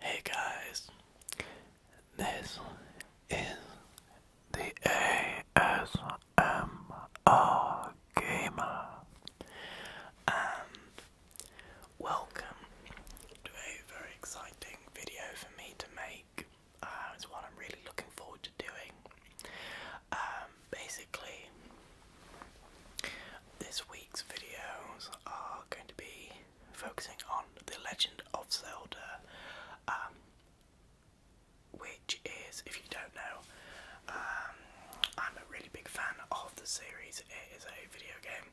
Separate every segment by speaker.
Speaker 1: Hey guys, this is the ASMR Gamer, and welcome to a very exciting video for me to make make. Uh, it's what I'm really looking forward to doing. Um, basically, this week's videos are going to be focusing on The Legend of Zelda, um, which is, if you don't know, um, I'm a really big fan of the series. It is a video game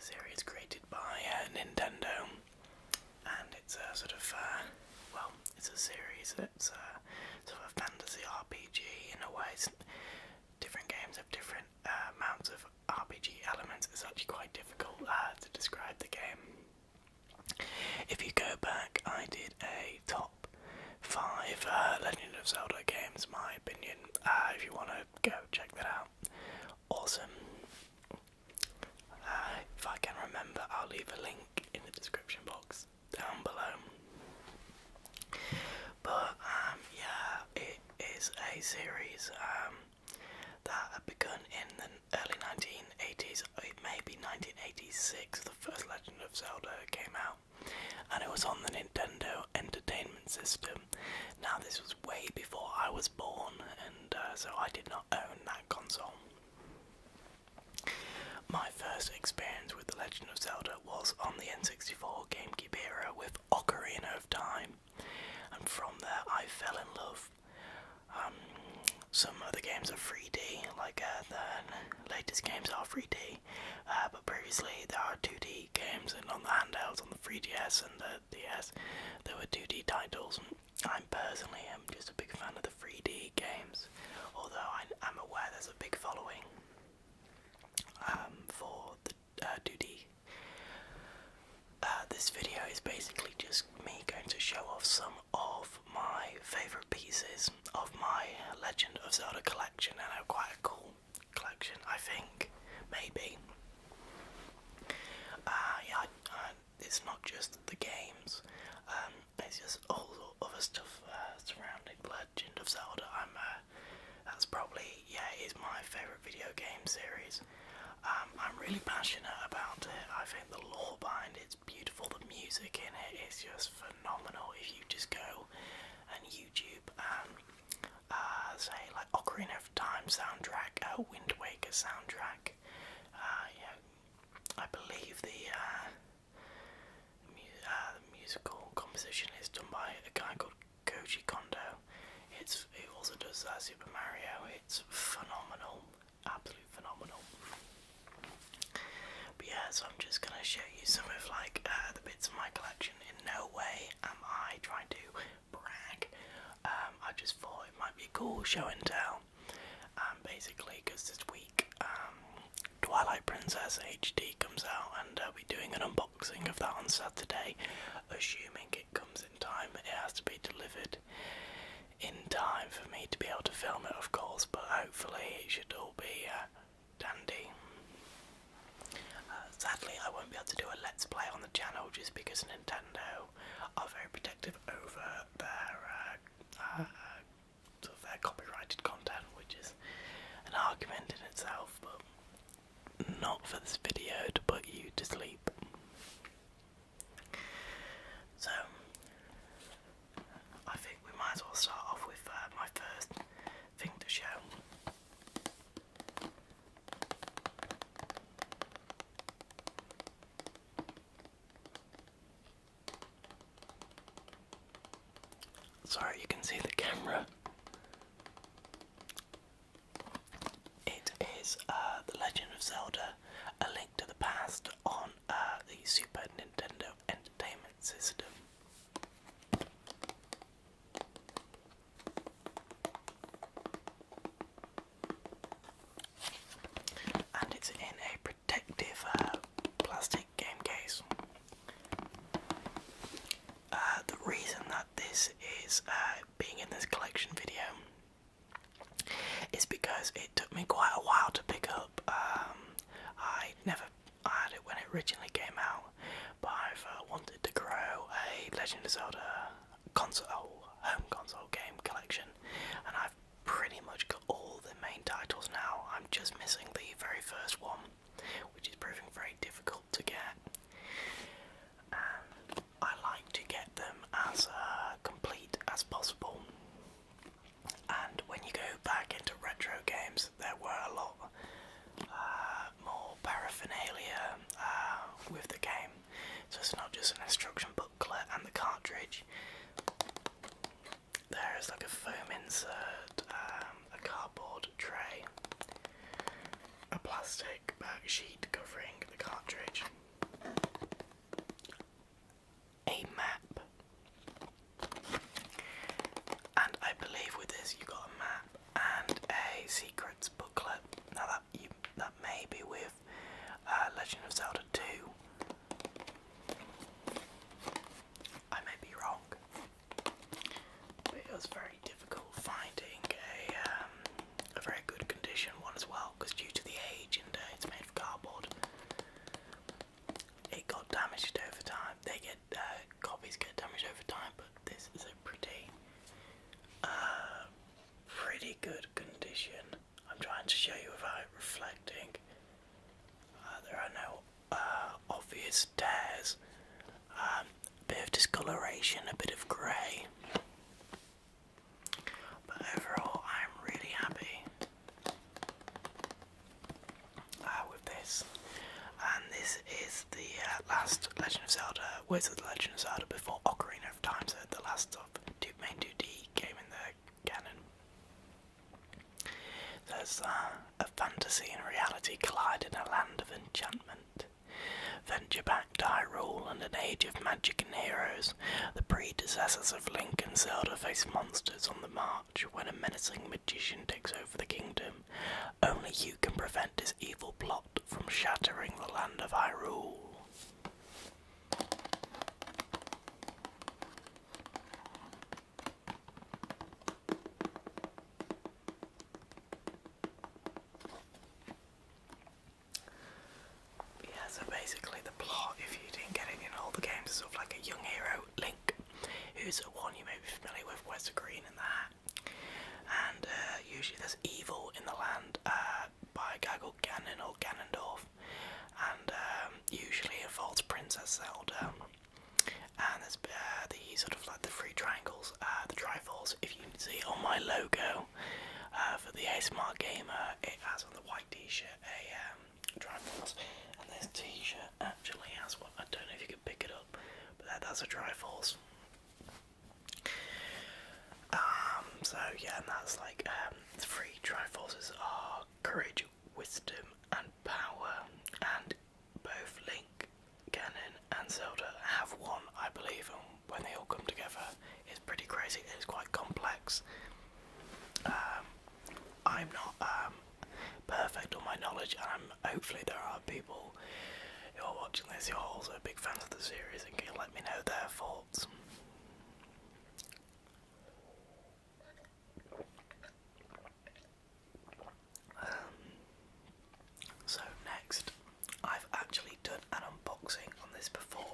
Speaker 1: series created by uh, Nintendo and it's a sort of uh, well, it's a series. It's a uh, sort of a fantasy RPG in a way. It's different games have different uh, amounts of RPG elements. It's actually quite difficult uh, to describe the game. If you go back, I did a top five uh, Legend of Zelda games. My opinion. if you want to go check that out, awesome. Uh, if I can remember, I'll leave a link in the description box down below. But um, yeah, it is a series um, that had begun in the early 1980s. It uh, Maybe 1986. The first Legend of Zelda came out, and it was on the Nintendo Entertainment System. Now, this was way before I was born, and uh, so I did not own that console. My first experience with The Legend of Zelda was on the N64 GameCube era with Ocarina of Time, and from there I fell in love. Um, some other games are 3D, like uh, the latest games are 3D, uh, but previously there are 2D games, and on the handhelds, on the 3DS and the DS, there were 2D titles. I personally am just a big fan of the 3D games, although I am aware there's a big following um, for the uh, 2D. Uh, this video is basically just me going to show off some of my favourite pieces of my Legend of Zelda collection, and I have quite a cool collection, I think, maybe. Uh, yeah, it's not just the games. Um, it's just all the other stuff uh, surrounding Legend of Zelda. I'm uh, that's probably yeah, it's my favourite video game series. Um, I'm really passionate about it. I think the lore behind it's beautiful. The music in it is just phenomenal. If you just go on YouTube and uh, say like Ocarina of Time soundtrack, a Wind Waker soundtrack, uh, I believe uh, uh, the, musical composition is done by a guy called Koji Kondo. It's he also does uh, Super Mario. It's phenomenal, absolute phenomenal. But yeah, so I'm just gonna show you some of like uh, the bits of my collection. In no way am I trying to brag. Um, I just thought it might be cool show and tell um, basically, because this week um, Twilight Princess HD comes out, and uh, we're doing an unboxing of that on Saturday. Assuming it comes in time, it has to be delivered in time for me to be able to film it, of course, but hopefully, it should all be uh, dandy. Uh, sadly, I won't be able to do a Let's Play on the channel just because Nintendo are very protective over their uh, uh, uh, copyrighted content, which is an argument in itself, but not for this video to put you to sleep. So, I think we might as well start off with uh, my first thing to show. Sorry, you can see the camera. It is uh, The Legend of Zelda A Link to the Past on uh, the Super Nintendo Entertainment System. And it's in a protective uh, plastic game case. Uh, the reason that this is uh, being in this collection video is because it took me quite a while to pick up. Um, I never had it when it originally came out, but I've wanted to grow a Legend of Zelda console, home console game collection, and I've pretty much all the main titles now. I'm just missing the very first one, which is proving very difficult to get. And I like to get them as uh, complete as possible. And when you go back into retro games, there were a lot uh, more paraphernalia uh, with the game. So it's not just an instruction booklet and the cartridge. There is like a foam insert, um, a cardboard tray, a plastic back sheet covering the cartridge, a map, and I believe with this you got a map and a secrets booklet. Now that you that may be with uh, Legend of Zelda 2. I may be wrong, but it was very difficult finding a, um, a very good condition one as well because due to the age and uh, it's made of cardboard, it got damaged over time. They get uh, copies get damaged over time, but this is a pretty, uh, pretty good condition. I'm trying to show you about reflecting. Uh, there are no uh, obvious tears. Um, a bit of discoloration, a bit of grey. But overall, I'm really happy uh, with this. And this is the last Legend of Zelda, Wizard the Legend of Zelda before Ocarina of Time, the last of two, main 2D game in the there's uh, a fantasy and reality collide in a land of enchantment. Venture back to Hyrule and an age of magic and heroes, the predecessors of Link and Zelda face monsters on the march when a menacing magician takes over the kingdom. Only you can prevent his evil plot from shattering the land of Hyrule. Yeah, so basically the plot, if you didn't get it in all the games, is sort of like a young hero, Link, who's a one you may be familiar with, wears the green and the hat. And uh, usually there's evil in the land uh, by a guy called Ganon or Ganondorf and um, usually involves Princess Zelda. And there's uh, the sort of like the three triangles, uh, the trifles. If you can see on my logo uh, for the ASMR Gamer, it has on the white T-shirt a um, trifles, and this T-shirt actually has what I don't know if you can pick it up, but that, that's a trifles. Um, so yeah, and that's like um, three triforces are courage, wisdom and power, and both Link, Ganon, and Zelda have one, I believe, and when they all come together, it's pretty crazy. It's quite complex. Um, I'm not um, perfect on my knowledge, and I'm, hopefully there are people who are watching this who are also big fans of the series and can let me know their thoughts. Um, so next, I've actually done an unboxing on this before.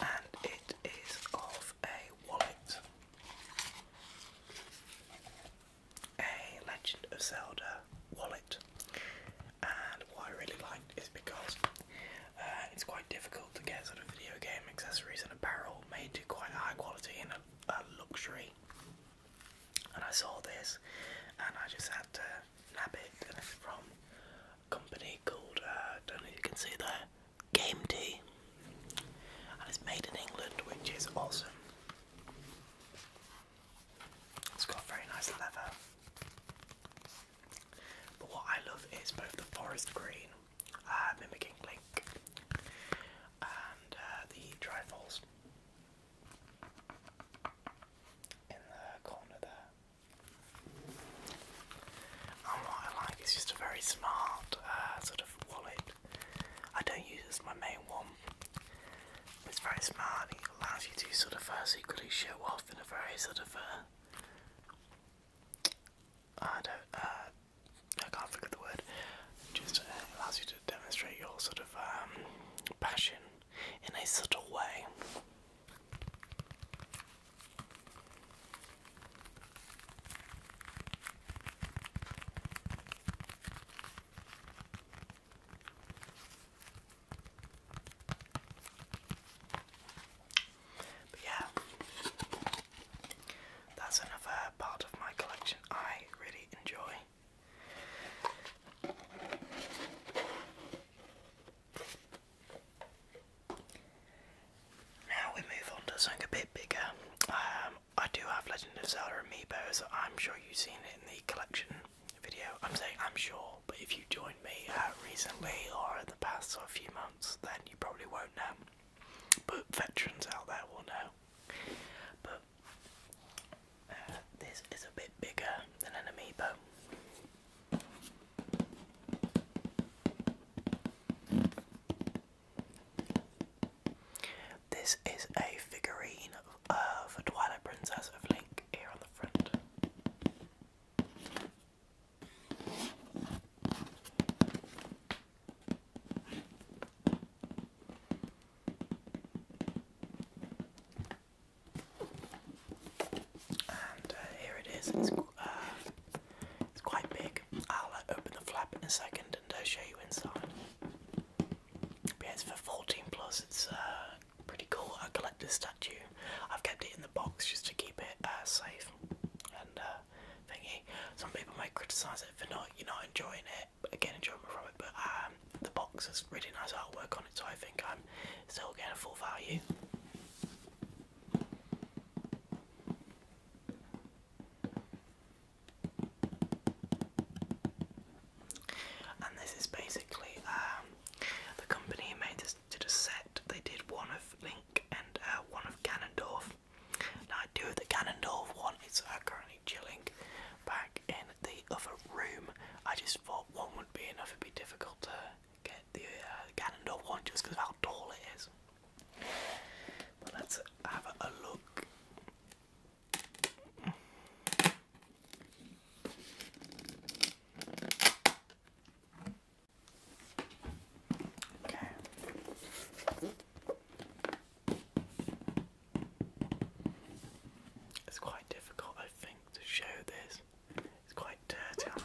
Speaker 1: And it is of a wallet. A Legend of Zelda wallet and what I really liked is because uh, it's quite difficult to get sort of video game accessories and apparel made to quite high quality and a, luxury. And I saw this, and I just had to nab it. And it's from a company called uh, I don't know if you can see there, Game Tea, and it's made in England, which is awesome. It's got very nice leather. But what I love is both the forest green, uh, mimicking Link, and uh, the dry falls in the corner there. And what I like is just a very smart uh, sort of wallet. I don't use as my main one, it's very smart. It allows you to sort of uh, secretly show off in a very sort of uh, I uh, can't think the word. Just uh, allows you to demonstrate your sort of um, passion in a subtle way. But yeah, that's another part of my collection I really enjoy. Now we move on to something a bit bigger. Um, I do have Legend of Zelda Amiibo, so I'm sure you've seen it in the collection video. I'm saying I'm sure, but if you joined me uh, recently or in the past sort few months, then you probably won't know. But veterans out there will know. But uh, this is a bit bigger than an amoeba. This is a figurine of a Twilight Princess of Link black on the front. And uh, here it is. It's, uh, it's quite big. I'll uh, open the flap in a second and uh, show you inside. it's for 14 plus. It's pretty cool, a collector's statue. I've kept it in the box just to keep it uh, safe and uh, thingy. Some people might criticise it for not, you know, enjoying it, again enjoyment from it, but um, the box has really nice artwork on it, so I think I'm still getting a full value and this is basically um, the company who made this did a set. They did one of Link and uh, one of Ganondorf. Now I do the Ganondorf one. It's uh, currently chilling back in the other room. I just thought one would be enough. It'd be difficult to get the uh, Ganondorf one just because of how tall it is. But let's have a look. It's quite difficult, I think, to show this. It's quite dirty on the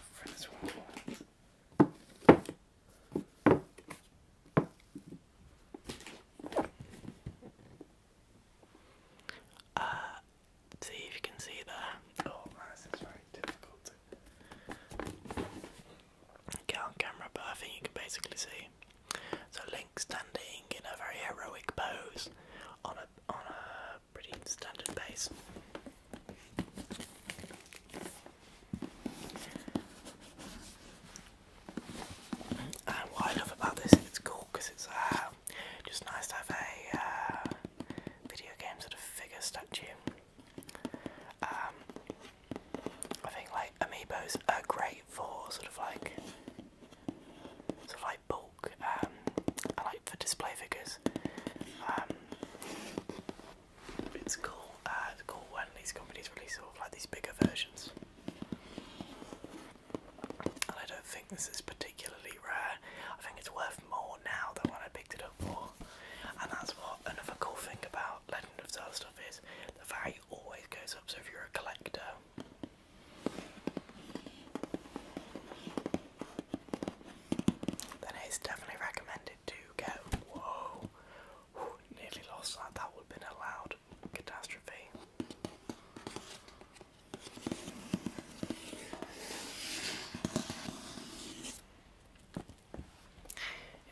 Speaker 1: see if you can see there. Oh this is very difficult to get on camera, but I think you can basically see. So Link standing in a very heroic pose on a on a pretty standard base. And what I love about this, it's cool because it's uh, just nice to have a uh, video game sort of figure statue. Um, I think like amiibos are great for sort of like sort of like bulk. Um, I like for display figures. Um, it's cool. Uh, it's cool when these companies release sort of like these bigger versions and I don't think this is particularly rare. I think it's worth more now than when I picked it up for. And that's what another cool thing about Legend of Zelda stuff is the value always goes up. So if you're a collector, then it's definitely recommended to get. Whoa, nearly lost that. That would have been a loud catastrophe.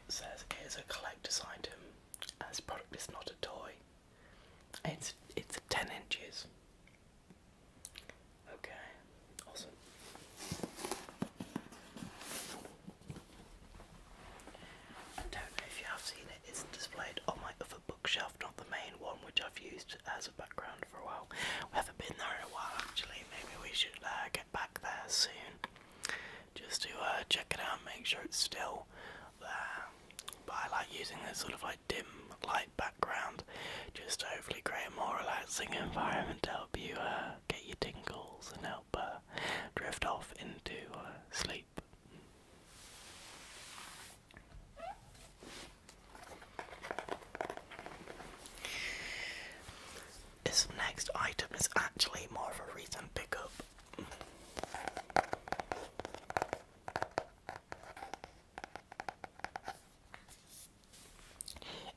Speaker 1: It says it is a collector's item, and this product is not a toy. It's it's ten inches. Okay, awesome. I don't know if you have seen it. It's displayed on my other bookshelf, not the main one, which I've used as a background for a while. We haven't been there in a while, actually. Maybe we should uh, get back there soon, just to uh, check it out, make sure it's still there. But I like using this sort of like dim light background, just to hopefully create a more relaxing environment to help you uh, get your tingles and help drift off into sleep. This next item is actually more of a recent pickup.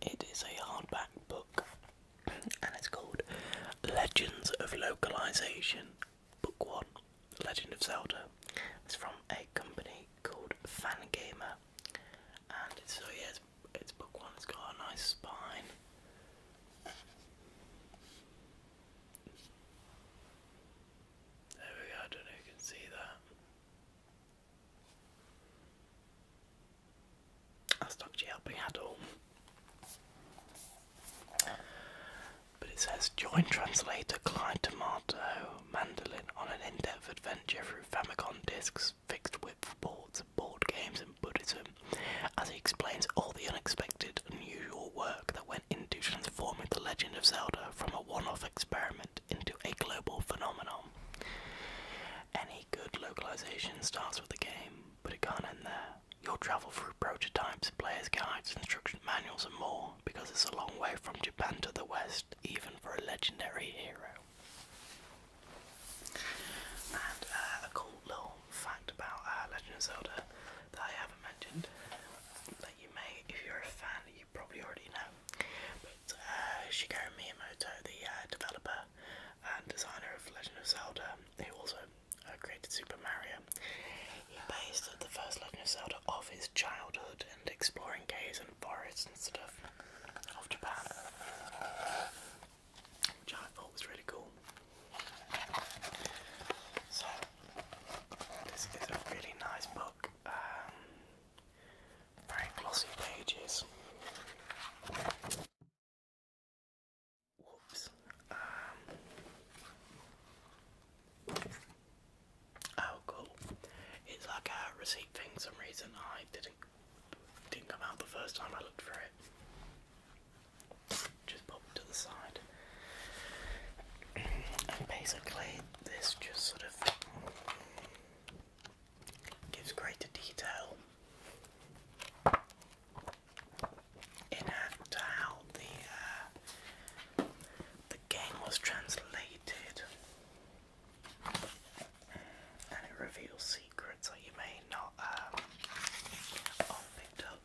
Speaker 1: It is a hardback book and it's called Legends of Localization, Book 1 Legend of Zelda. It's from a company called Fangamer, and so yeah, it's, book one. It's got a nice spine. There we go. I don't know if you can see that. That's not actually helping at all. But it says join translator Clyde Tomato Mandolin on an in depth adventure through Famicom discs, fixed width boards, board games, and Buddhism, as he explains all the unexpected, unusual work that went into transforming The Legend of Zelda from a one off experiment into a global phenomenon. Any good localization starts with the game, but it can't end there. You'll travel through prototypes, player's guides, instruction manuals, and more, because it's a long way from Japan to the West, even for a legendary hero. And uh, a cool little fact about uh, Legend of Zelda that I haven't mentioned that you may, if you're a fan, you probably already know. But uh, Shigeru Miyamoto, the developer and designer of Legend of Zelda, who also created Super Mario, he based the first Legend of Zelda off his childhood exploring caves and forests and stuff of Japan, which I thought was really cool. So, this is a really nice book, um, very glossy pages. Whoops. Um, Oh, cool. It's like a receipt thing. Some reason I didn't didn't come out the first time I looked for it. Just popped to the side. And basically, this just sort of gives greater detail in how the uh, the game was translated and it reveals secrets that you may not um, have picked up.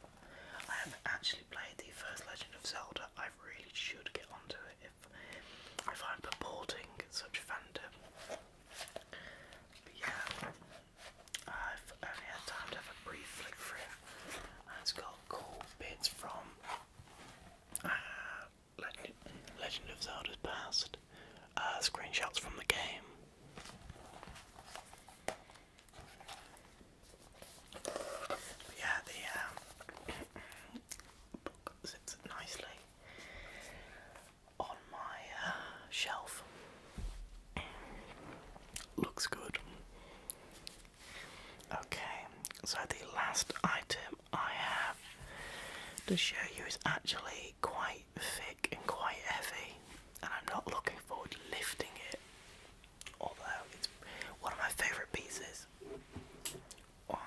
Speaker 1: I have actually played the first Legend of Zelda. I really should get onto it if I'm purporting such fandom. But yeah, I've only had time to have a brief flick through. it's got cool bits from. Uh, Legend, of Zelda's past. Uh, screenshots from the game. yeah, the um, book sits nicely on my uh, shelf. Looks good. Okay, so the last item I have to show you it's actually quite thick and quite heavy, and I'm not looking forward to lifting it. Although it's one of my favourite pieces. Oh,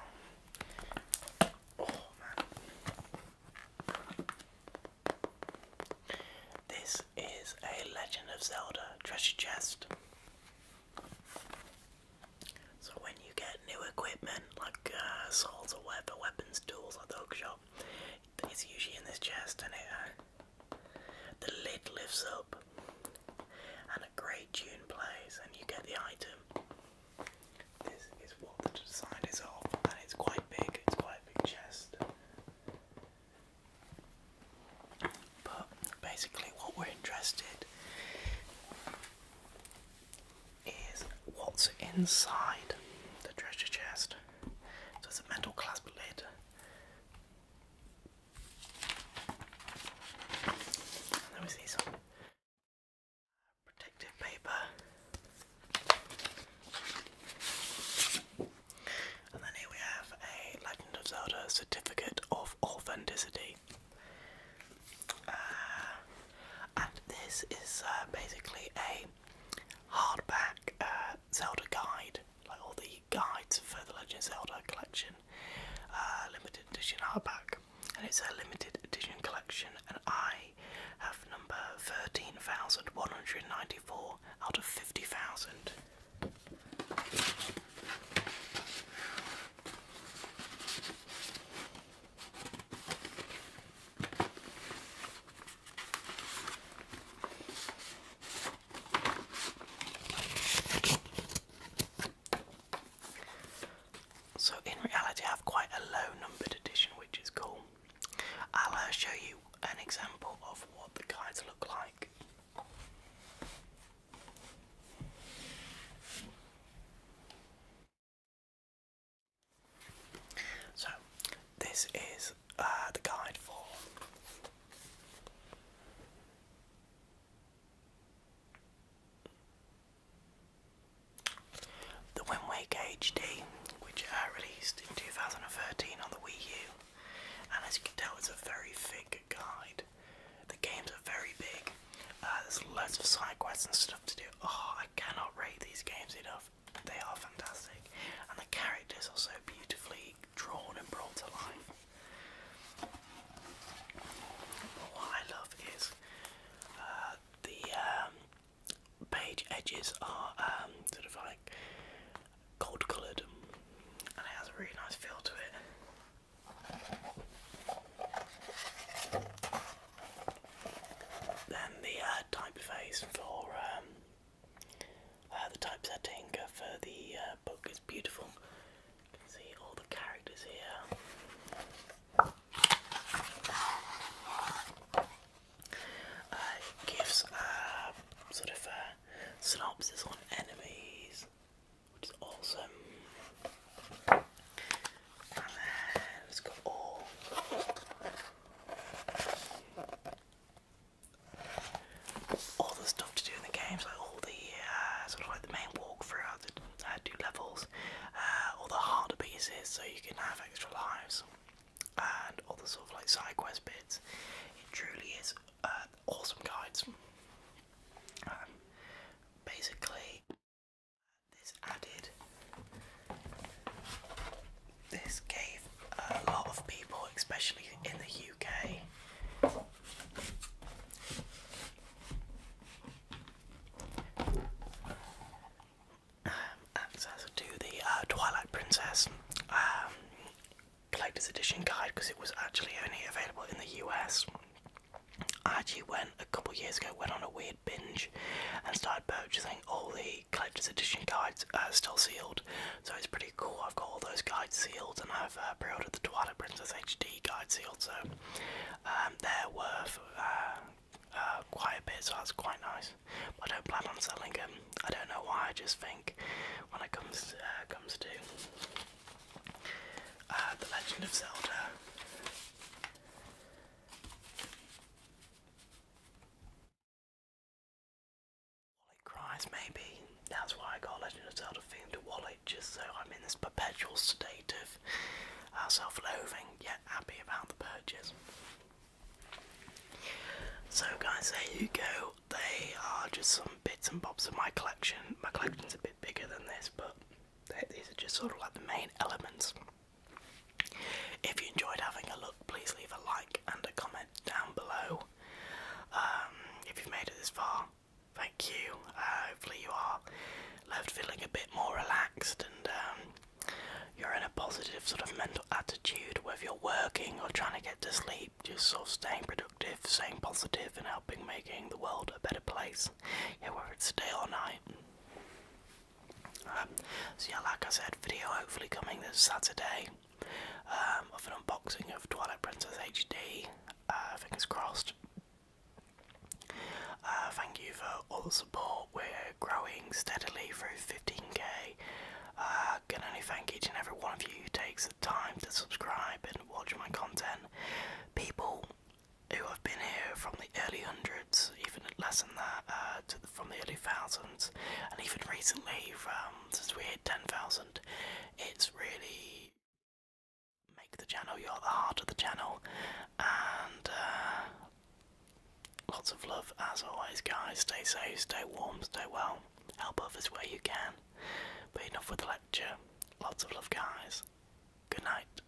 Speaker 1: this is a Legend of Zelda treasure chest. So when you get new equipment like uh, swords or whatever, weapons, tools like the hookshot, it's usually in this chest and it uh, the lid lifts up and a great tune plays and you get the item. This is what the design is of and it's quite big, it's quite a big chest. But basically what we're interested is what's inside the treasure chest. So it's a metal clasp lid. And then we protective paper. And then here we have a Legend of Zelda certificate of authenticity. Uh, and this is uh, basically a hardback uh, Zelda guide, like all the guides for the Legend of Zelda collection, limited edition hardback. And it's a limited edition collection, and I have number 13,194 out of 50,000. So, in reality, I have quite a low numbered edition, which is cool. I'll uh, show you an example of what the guides look like. So, this is uh, the guide for the Wind HD, which I uh, released in 2013 on the Wii U, and as you can tell, it's a very thick guide. The games are very big, uh, there's loads of side quests and stuff to do. Oh, I cannot rate these games enough. They are fantastic, and the characters are so beautifully drawn and brought to life. But what I love is uh, the um, page edges are um, sort of like gold coloured, and it has a really nice feel to it. Then the uh, typeface for um, uh, the typesetting for the uh, book is beautiful. You can see all the characters here. Uh, it gives sort of a synopsis on enemies, which is awesome let's go all. the stuff to do in the games, like all the uh, sort of like the main walk throughout the uh, do levels, uh, all the harder pieces, so you can have extra lives, and all the sort of like side quest bits. It truly is uh, awesome guys. Um, basically, this added, this gave a lot of people, especially in the UK, um, access to the uh, Twilight Princess um, Collector's Edition guide because it was actually only available in the US. I actually went a couple years ago, went on a weird binge and start purchasing all the collector's edition guides are still sealed. So it's pretty cool. I've got all those guides sealed and I've uh, pre ordered the Twilight Princess HD guide sealed. So um, they're worth uh, uh, quite a bit, so that's quite nice. I don't plan on selling them. I don't know why, I just think when it comes, uh, comes to. the Legend of Zelda. Wallet cries, maybe. That's why I it's out of Zelda to wallet, just so I'm in this perpetual state of uh, self loathing, yet happy about the purchase. So, guys, there you go. They are just some bits and bobs of my collection. My collection's a bit bigger than this, but these are just sort of like the main elements. If you enjoyed having a look, please leave a like and a comment down below. Um, if you've made it this far, thank you. Uh, hopefully, you are left feeling a bit more relaxed and um, you're in a positive sort of mental attitude, whether you're working or trying to get to sleep, just sort of staying productive, staying positive, and helping making the world a better place, yeah, whether it's day or night so yeah, like I said, video hopefully coming this Saturday um, of an unboxing of Twilight Princess HD. Uh, fingers crossed. Uh, thank you for all the support. We're growing steadily through 15k. can uh, only thank each and every one of you who takes the time to subscribe and watch my content. People who have been here from the early hundreds, even less than that, uh, to from the early thousands, and even recently, from since we hit ten thousand, it's really make the channel. You're the heart of the channel, and uh, lots of love as always, guys. Stay safe, stay warm, stay well. Help others where you can. But enough with the lecture. Lots of love, guys. Good night.